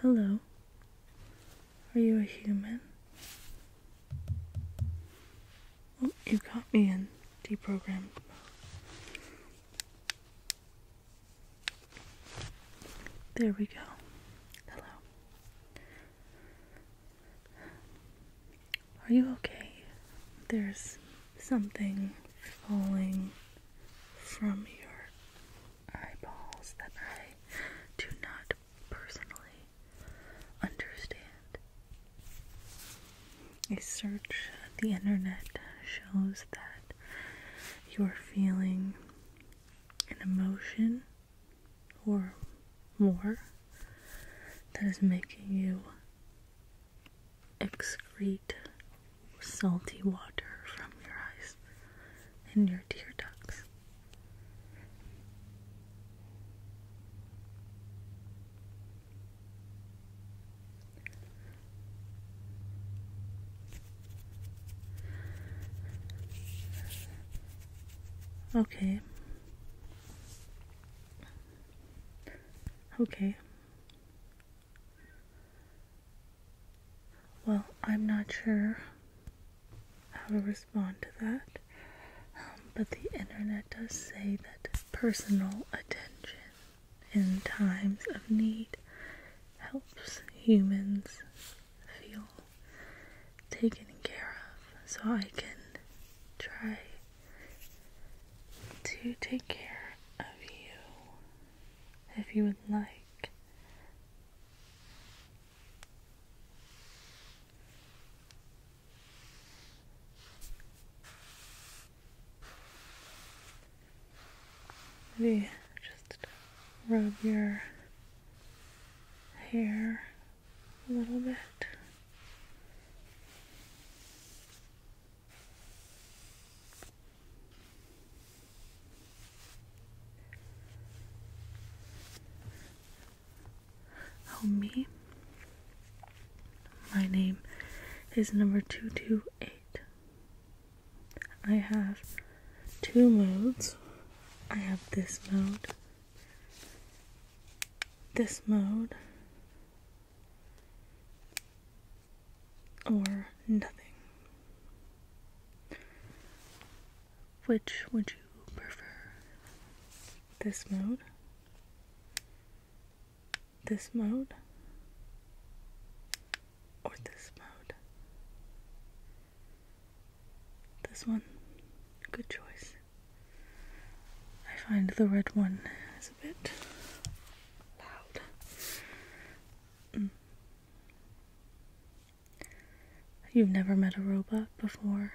Hello. Are you a human? Oh, you caught me in deprogrammed mode. There we go. Hello. Are you okay? There's something falling from your eyeballs that I do not personally understand. A search of the internet shows that you're feeling an emotion or more that is making you excrete salty water from your eyes and your tear ducts. Okay, Okay. Well, I'm not sure how to respond to that, um, but the internet does say that personal attention in times of need helps humans feel taken care of so I can try to take care of you if you would like. Maybe just rub your hair a little bit. Oh, me. My name is number 228. I have two modes. I have this mode this mode or nothing. Which would you prefer? This mode? This mode? Or this mode? This one, good choice. I find the red one is a bit loud. Mm. You've never met a robot before?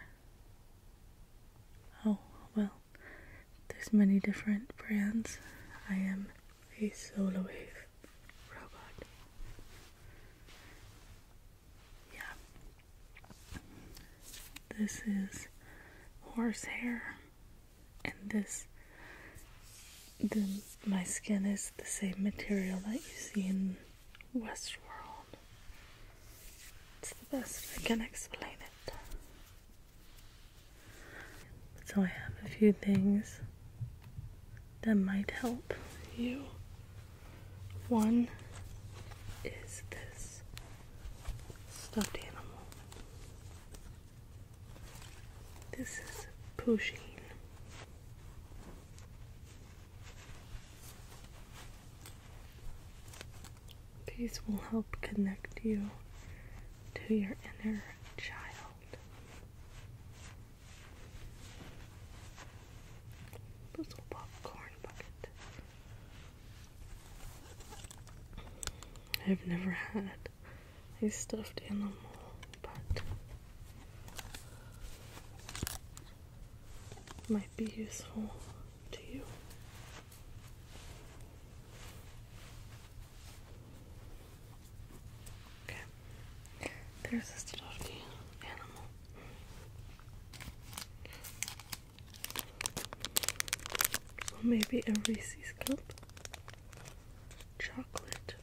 Oh, well, there's many different brands. I am a solo robot yeah. This is horse hair, and this, my skin is the same material that you see in Westworld. It's the best I can explain it. So I have a few things that might help you one is this stuffed animal. This is pushing. These will help connect you to your inner child. Puzzle popcorn bucket. I've never had a stuffed animal, but might be useful to you. Okay, there's a stuffed animal. Or maybe a Reese's cup. Chocolate.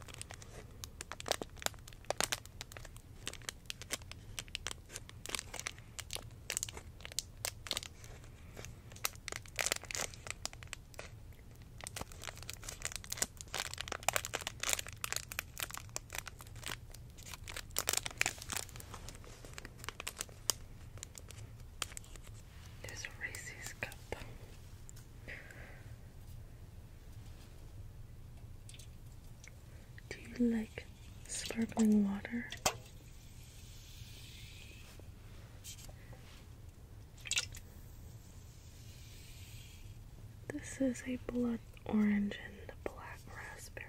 There's a cup. Do you like sparkling water? This is a blood orange and black raspberry.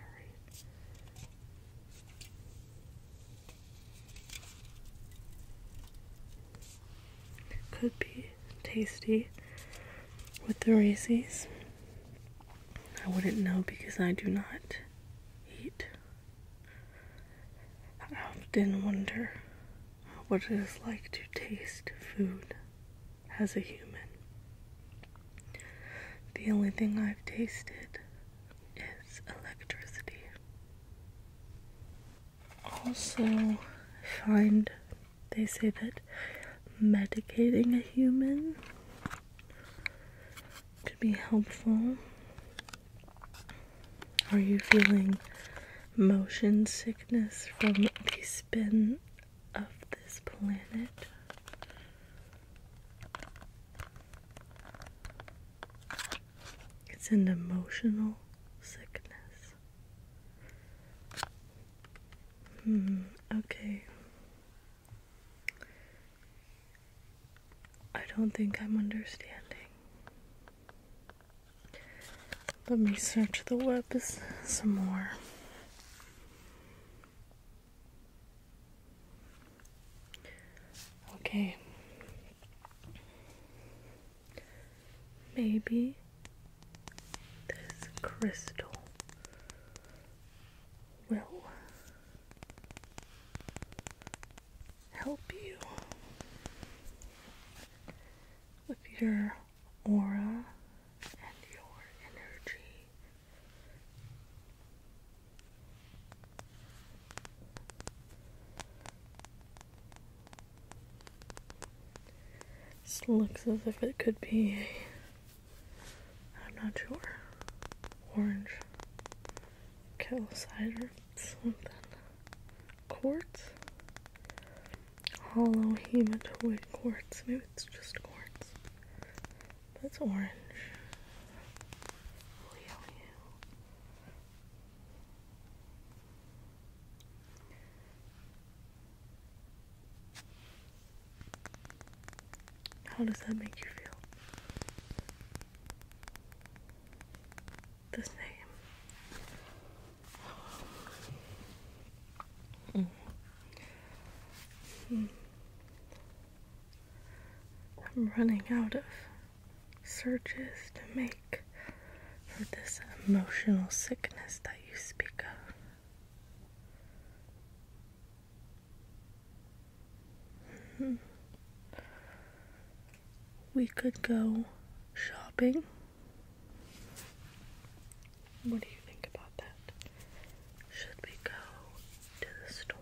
Could be tasty with the Reese's. I wouldn't know because I do not eat. I often wonder what it is like to taste food as a human. The only thing I've tasted is electricity. Also, find they say that medicating a human could be helpful. Are you feeling motion sickness from the spin of this planet. It's an emotional sickness. Hmm, okay. I don't think I'm understanding. Let me search the web some more. Okay. Maybe this crystal will help you with your aura and your energy. This looks as if it could be I'm not sure, orange calcite or something. Quartz? hollow hematoid quartz. Maybe it's just quartz. That's orange. How does that make you feel? The same. Mm. Hmm. I'm running out of searches to make for this emotional sickness that you speak of. Hmm. We could go shopping. What do you think about that? Should we go to the store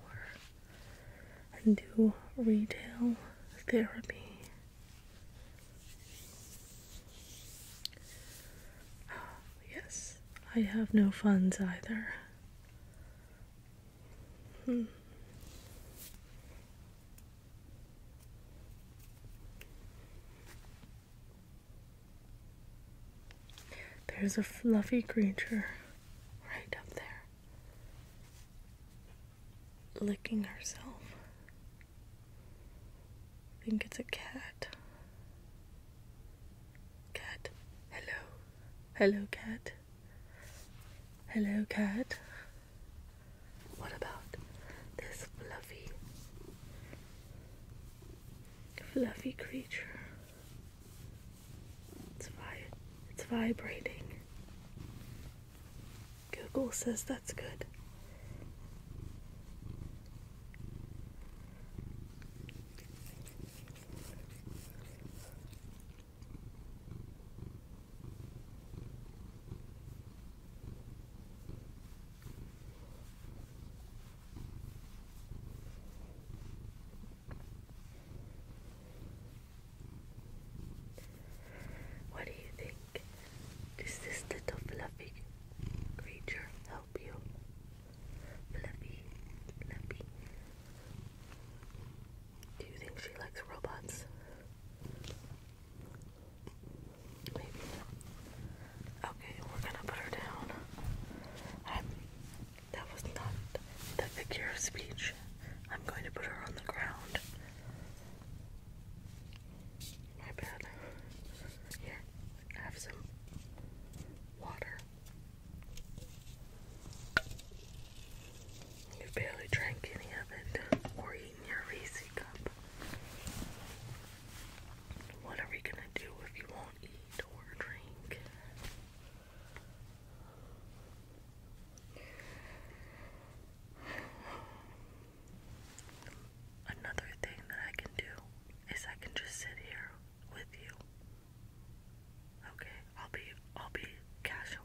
and do retail therapy? Yes, I have no funds either. Hmm. There's a fluffy creature right up there licking herself. I think it's a cat. Cat, hello. Hello, cat. Hello, cat. What about this fluffy fluffy creature. It's, vi it's vibrating. Google says that's good. What do you think? Does this little fluffy creature help you? Fluffy, fluffy. Do you think she likes robots? Maybe Okay, we're gonna put her down. I'm, that was not the figure of speech. I'm going to put her on the ground. My bad. Here, have some water. You barely drank any of it or eaten your Reese cup. What are we gonna do if you won't eat or drink? Another thing that I can do is I can just sit here with you. Okay, I'll be I'll be casual.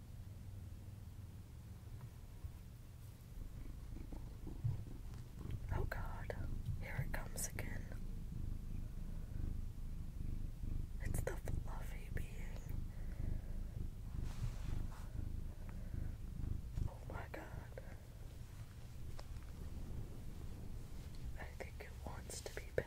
Oh god, here it comes again. It's the fluffy being. Oh my god. I think it wants to be pet.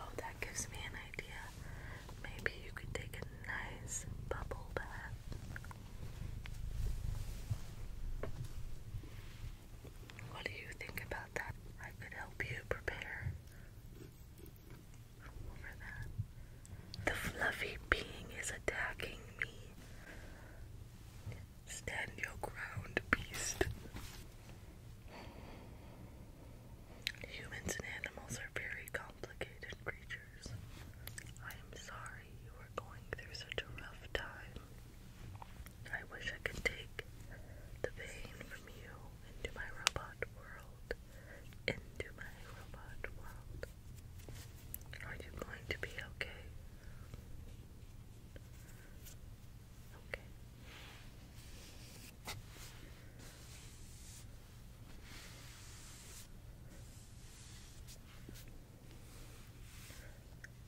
Oh, that gives me an idea. Maybe you could take a nice bubble bath. What do you think about that? I could help you prepare for that. The fluffy being is attacking me. Stand your ground, beast. Humans and animals are very complicated creatures. I am sorry you are going through such a rough time. I wish I could take the pain from you into my robot world. Into my robot world. Are you going to be okay? Okay.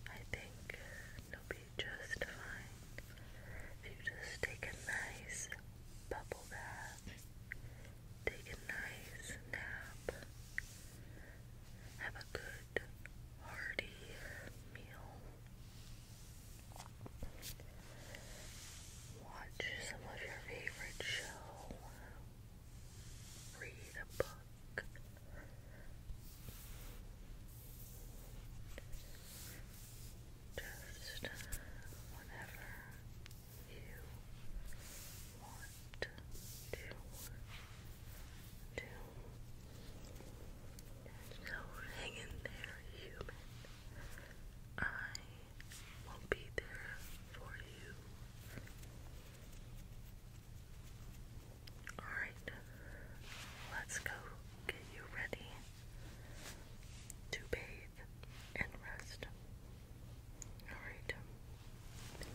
I think it'll be just fine if you just take a nice bubble bath, take a nice nap, have a good hearty meal, Watch some of your favorite show. Read a book. Just whatever you want to So hang in there, human. I won't be there for you. Alright, let's go get you ready to bathe and rest. Alright,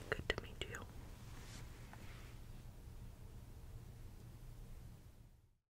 good to meet you.